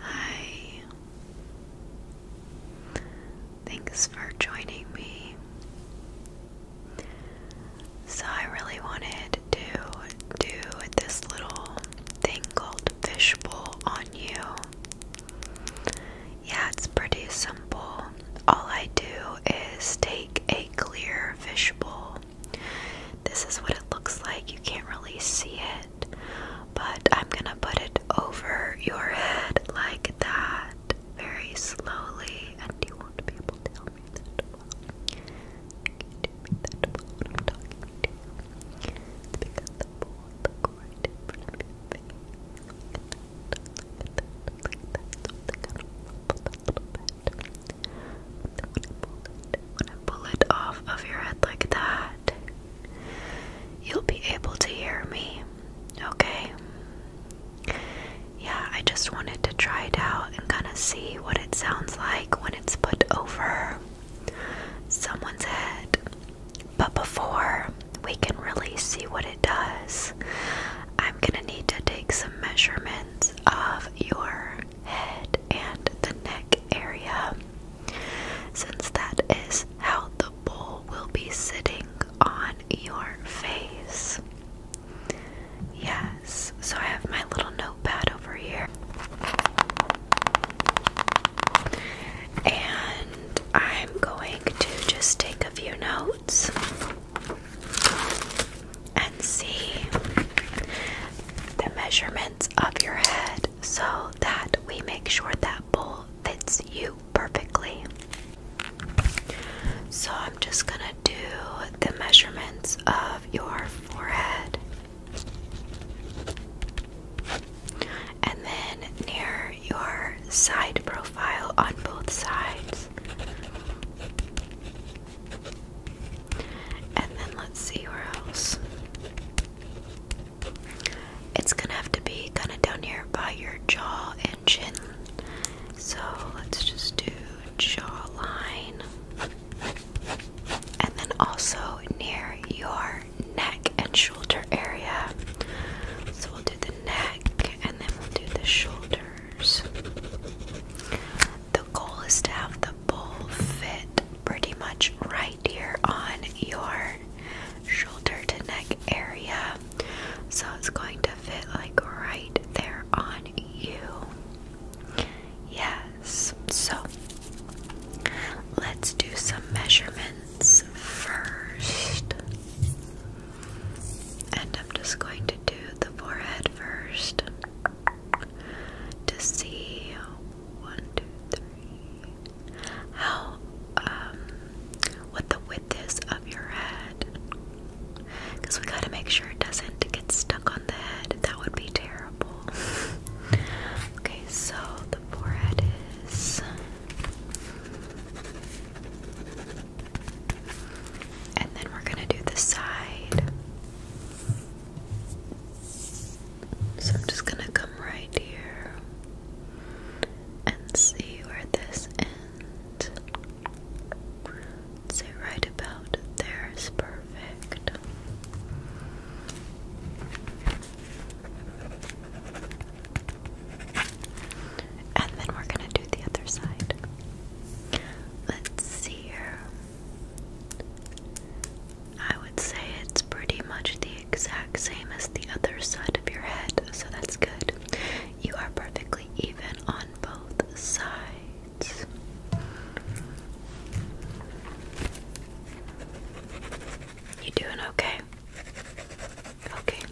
Hi. Thanks for joining me. So, I really wanted to do this little thing called Fishbowl on you. Yeah, it's pretty simple. All I do is take a clear fishbowl. This is what it looks like. You can't really see it but I'm gonna put it over your head like that, very slowly, and you won't be able to tell me that well. You do me that well when I'm talking to you. It's because the ball look right pull it off of your head like that, you'll be able to hear me, okay? Yeah, I just wanted to try it out and kind of see what it sounds like when it's put over someone's head. But before we can really see what it does, I'm gonna need to take some measurements of your head and the neck area, since that is how the bowl will be sitting on your face. Yes, so I have my little notepad over here. And I'm going to just take a few notes and see the measurements of your head so that we make sure that bowl fits you perfectly. So I'm just going to do the measurements of your forehead. And then near your side profile on both sides. And then let's see where else. It's gonna have to be kind of down here by your jaw and chin. So let's just do jawline. And then also near your neck and shoulder area. So we'll do the neck and then we'll do the shoulders. The goal is to have the ball fit pretty much right here on your shoulder to neck area. So it's going to fit like right there on you. Yes. So let's do some measurements first. And I'm just going to do the forehead first to see one, two, three. How, um, what the width is of your head. Because we gotta make sure it doesn't get stuck on the head. That would be terrible. okay, so the forehead is. And then we're gonna do the side. So I'm just gonna come right here and see where this ends. Say right about there is perfect. And then we're gonna do the other side. Let's see here. I would say it's pretty much the exact same as the other side of your head, so that's good. You are perfectly even on both sides. You doing okay? Okay.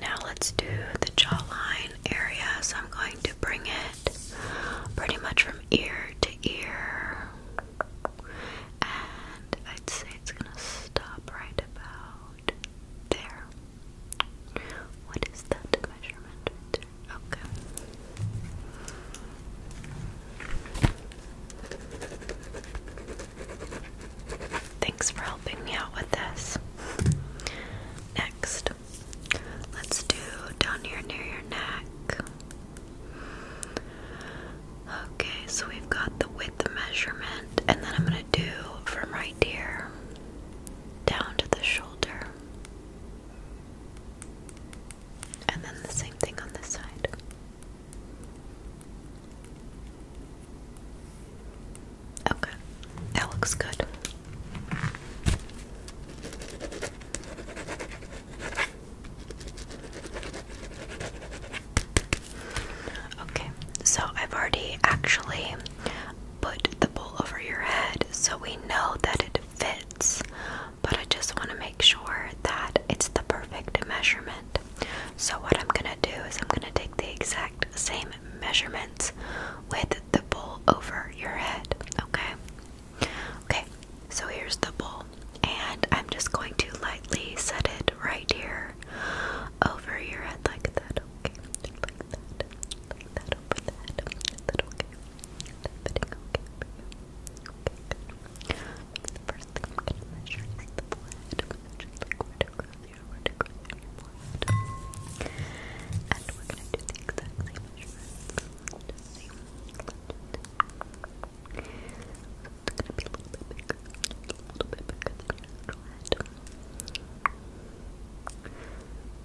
Now let's do the jawline area. So I'm going to bring it pretty much from ear to ear. And I'd say it's gonna stop right about there. What is that measurement Okay. Thanks for helping me out with this. Next, let's do down here near your neck. Okay, so we've got the width measurement, and then I'm going to do from right here down to the shoulder. And then the same thing on this side. Okay, that looks good. Okay, so I've already actually put the bowl over your head so we know that it fits, but I just want to make sure that it's the perfect measurement. So, what I'm gonna do is, I'm gonna take the exact same measurements with the bowl over your head, okay? Okay, so here's the bowl, and I'm just going to lightly set it right here over your head like that. Okay, like that, like that over the head. that okay? Fitting okay for Okay, The first thing I'm gonna measure is the blood. Just like where to cross your, where to cross And we're gonna do the exact same measurement. It's gonna be a little bit bigger. A little bit bigger than your little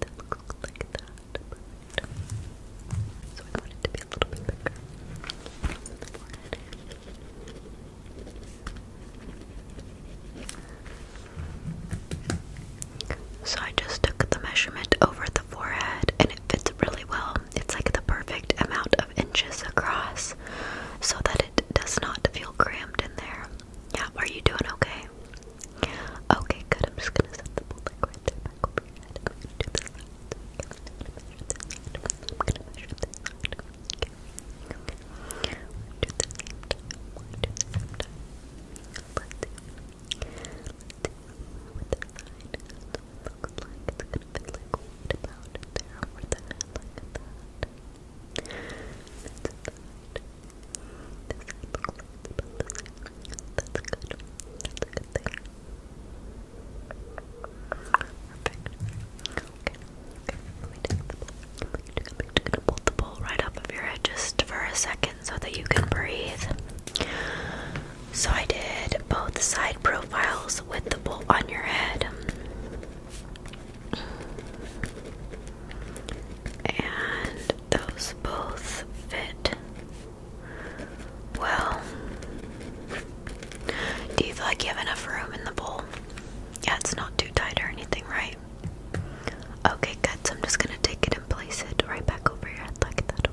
That looks like that. So I want it to be a little bit bigger. So I just took the measurement over the forehead and it fits really well it's like the perfect amount of inches across so that it does not feel cramped in there. Yeah, are you doing okay? Okay, good. I'm just gonna set the bowl back over looks like it's gonna fit like right about there over the that. That's that. This side looks like it's about the same. That's good. That's a good thing. Perfect. Okay. Okay. Let me take the bowl. I'm gonna pull the bowl right up of your head just for a second so that you can breathe. So I did both side profiles with the bowl on your head. And those both fit well. Do you feel like you have enough room in the bowl? Yeah, it's not too tight or anything, right? Okay, good. So I'm just gonna take it and place it right back over your head like that.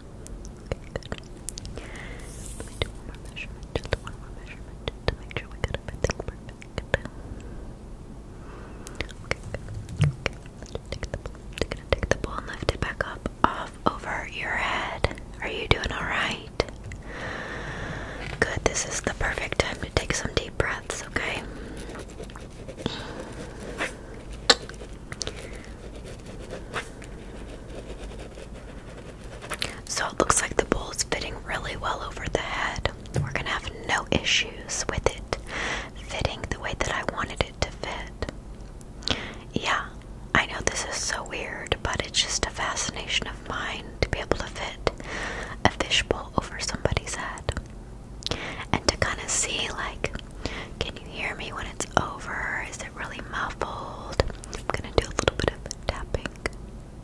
Okay, good. do one more measurement, just one more measurement, just to make sure we got everything perfect. Okay, Okay, let's take the take the ball and lift it back up, off, over your head. Are you doing alright? Good, this is the perfect time to take some deep breaths, okay? So it looks like the bowl is fitting really well over the head. We're gonna have no issues with it fitting the way that I wanted it to fit. Yeah, I know this is so weird, but it's just a fascination of mine to be able to fit a fishbowl over somebody's head. And to kind of see, like, can you hear me when it's over? Is really muffled? I'm gonna do a little bit of tapping,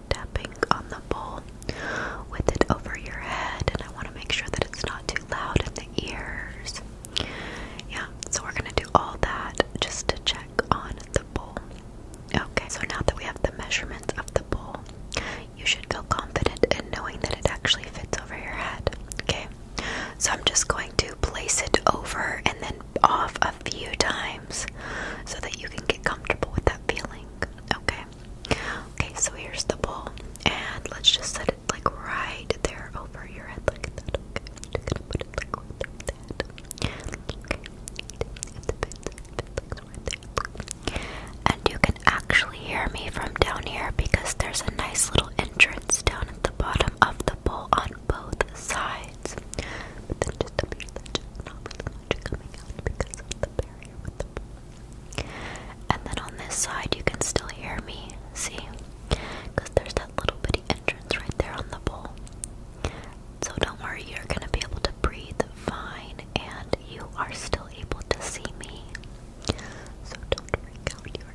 tapping on the bowl with it over your head, and I want to make sure that it's not too loud in the ears. Yeah, so we're gonna do all that just to check on the bowl. Okay, so now that we have the measurements of the bowl, you should feel confident in knowing that it actually fits over your head. Okay, so I'm just going to place it over and then off a few times so that you can get comfortable with that feeling. Okay, okay, so here's the bowl, and let's just set it like right there over your head, like that. Okay, just gonna put it like right there. Okay, it's a bit, it's right there. And you can actually hear me from down here because there's a nice little entrance down at the bottom of the bowl on both sides. then just up here, that's just not much coming out because of the barrier with the And then on this side, you can still hear me, see? Because there's that little bitty entrance right there on the bowl. So don't worry, you're gonna be able to breathe fine and you are still able to see me. So don't freak out,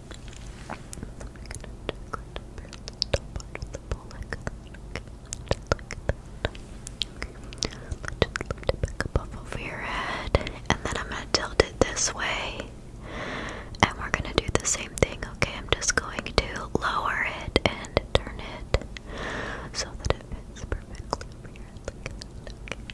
it back up off over your head, and then I'm gonna tilt it this way, and we're gonna do the same thing. Okay, I'm just going to lower it and turn it so that it fits perfectly over your head.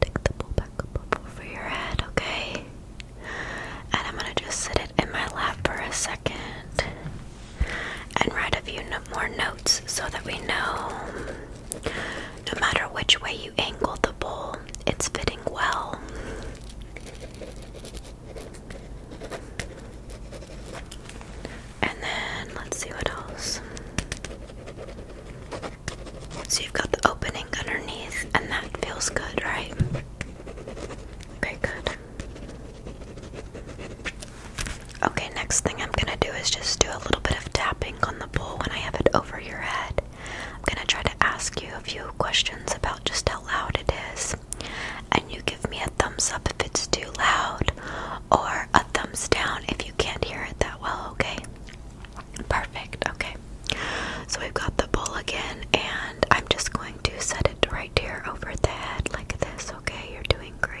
take the pullback up over your head, okay? And I'm gonna just sit it in my lap for a second and write a few more notes so that we know no matter which way you angle the bowl, it's fitting well. And then let's see what else. So you've got the opening underneath, and that feels good, right? Okay, good. Okay, next thing I'm gonna do is just do a little bit of tapping on the bowl when I have it over your head. I'm gonna try to ask you a few questions about just how loud it is, and you give me a thumbs up if it's too loud, or a thumbs down if you can't hear it that well, okay? Perfect. Okay. So we've got the bowl again, and I'm just going to set it right here over the head like this. Okay, you're doing great.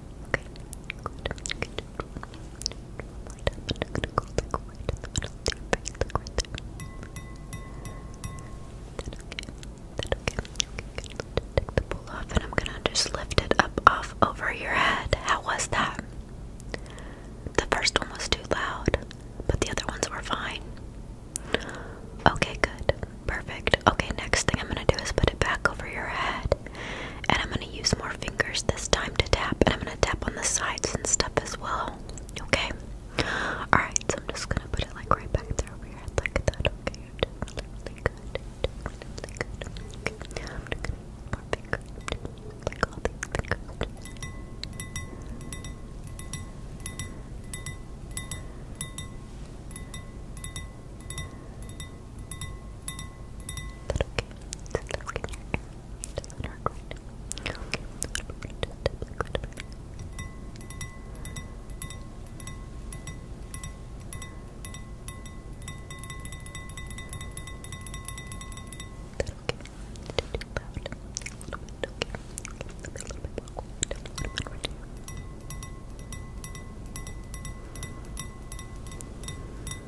Okay, pull off, and I'm gonna just lift it up off over your head. How was that? The first one was too loud, but the other ones were fine. Okay, good. Perfect. Okay, next thing I'm gonna do is put it back over your head. And I'm gonna use more fingers this time to tap, and I'm gonna tap on the sides and stuff as well. Okay? Alright, so I'm just gonna put it like right back there over your head like that. Okay, that okay? Just look in your ear. Does that hurt right now? Okay. That okay? Just do that a little bit. Okay. Okay. A little bit. Okay. A little bit right here. Okay.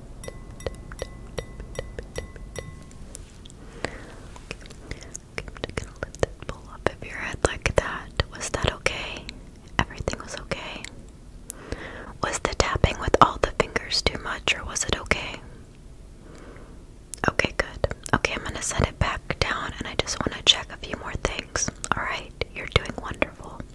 I'm just gonna lift this bowl up of your head like that. Was that okay? Everything was okay? Was the tapping with all the fingers too much or was it okay? Okay, good. Okay, I'm gonna set it back down and I just wanna check a few more things. Alright, you're doing wonderful.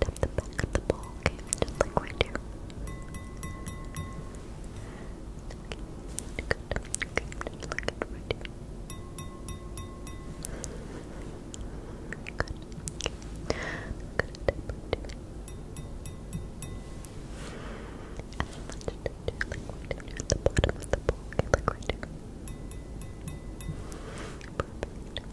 tap the back of the ball, okay? Just like right here. Okay, good. Okay, just like it right here. Good. Okay. Good tap right here. And I want you do like at the bottom of the ball, okay? Like right here. Perfect.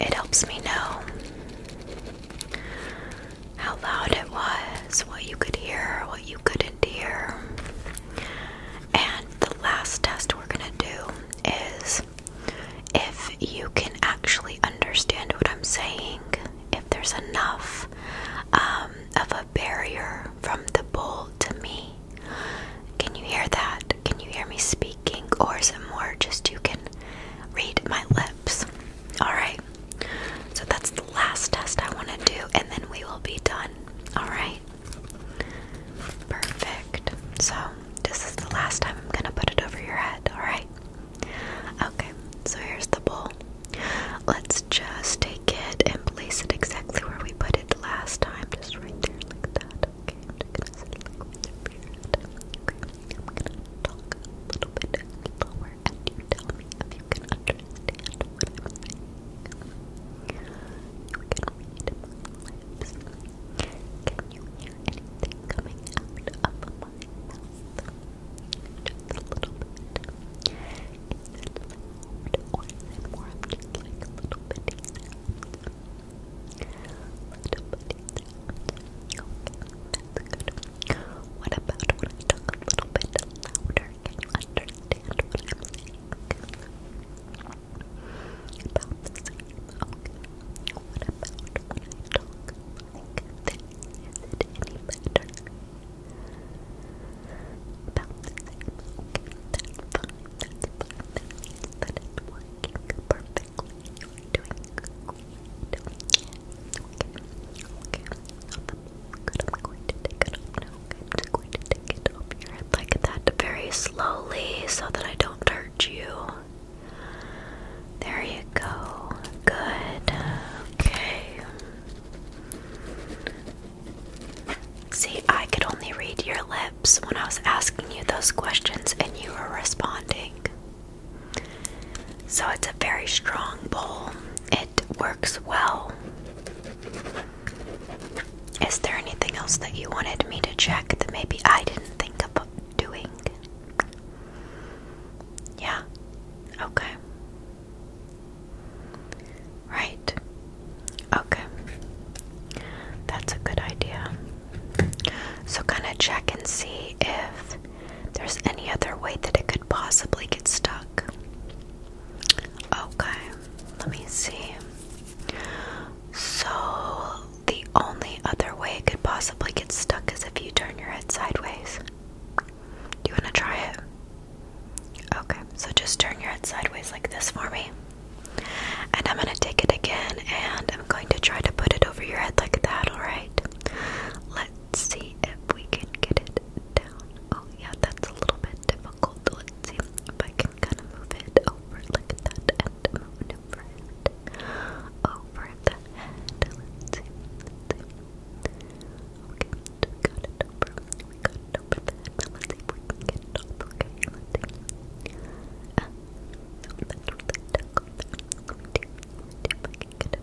It helps me know how loud it was, what you could hear, what you couldn't hear. And the last test we're going to do is if you can actually understand what I'm saying, if there's enough um, of a barrier from the bowl to me. Can you hear that? Can you hear me speak? speaking or some more just you can read my lips. Alright, so that's the last test I want to do, and then we will be done. Alright, perfect. So, this is the last time I'm going to put it over your head. Alright, okay, so here's the bowl. Let's just take it and place it exactly where we put it last time, just right there, like that. Okay. I'm gonna talk a little bit slower and you tell me if you can understand what I'm saying. You can read my lips. Can you hear anything coming out of my mouth? Just a little bit. Is it loud or is it more just like a little bitty sound? Little bitty good. What about when I talk a little bit louder? Can you understand what I'm saying? About the same. What about when I talk like this? Is it any better? About the same. Okay. That's fine. That's fine. That means that it's working perfectly. You're doing good going to take it off now. i going to take it off your like that, very slowly, so that I don't hurt you. There you go. Good. Okay. See, I could only read your lips when I was asking you those questions and you were responding. So it's a very strong bowl. It works well. Is there anything else that you wanted me to check that maybe I didn't think of doing? Yeah. Okay. Right. Okay. That's a good idea. So, kind of check and see if there's any other way that it could possibly get stuck. Okay, let me see. So, the only other way it could possibly get stuck is if you turn your head sideways. Do you want to try it? Okay, so just turn your head sideways like this for me. And I'm going to take it again and I'm going to try to put it over your head like that, alright? Let's see if we can get it down. Oh yeah, that's a little bit difficult. Let's see if I can kind of move it over like that and move it over Over the Let's see. Okay, we over. We over the let's see if we Okay, let's see. no, that's not that go back. If I can get it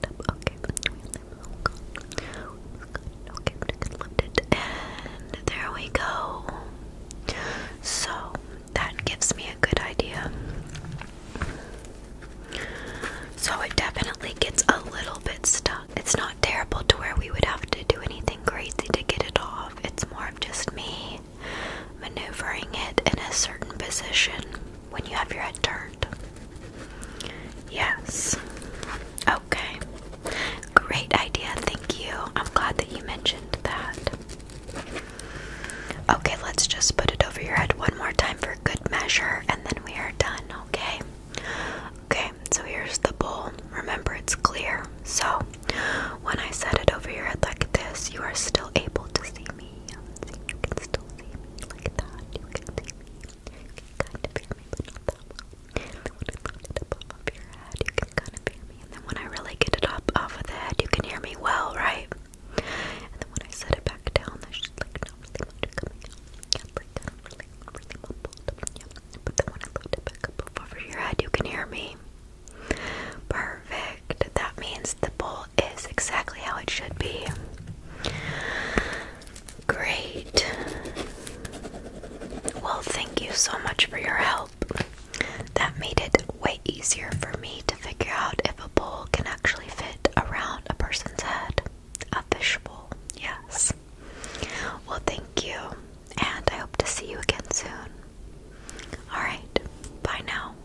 up, okay. Okay, but I can lift it, and there we go. So that gives me a good idea. So it definitely gets a little bit stuck. It's not terrible to where we would have to do anything crazy to get it off. It's more of just me maneuvering it in a certain position when you have your head turned. Yes. Okay. Great idea. Thank you. I'm glad that you mentioned that. Okay, let's just put it over your head one more time for good measure and then we are done, okay? Okay, so here's the bowl. Remember, it's clear. So, when I set it over your head like this, you are still able to see me. See, you can still see me that. You can see me. kind of hear me, but not that when I put it up off your head, you can kind of hear me. And then when I really get it up off of the head, you can hear me well, right? And then when I set it back down, there's just like not coming out. then when I put it back up over your head, you can hear me. Perfect. That means the bowl is exactly how it should be. Great. Well, thank you so much for your help. That made it way easier for me to figure out if a bowl can actually fit around a person's head. A fish bowl, yes. Well, thank you, and I hope to see you again soon. Alright, bye now.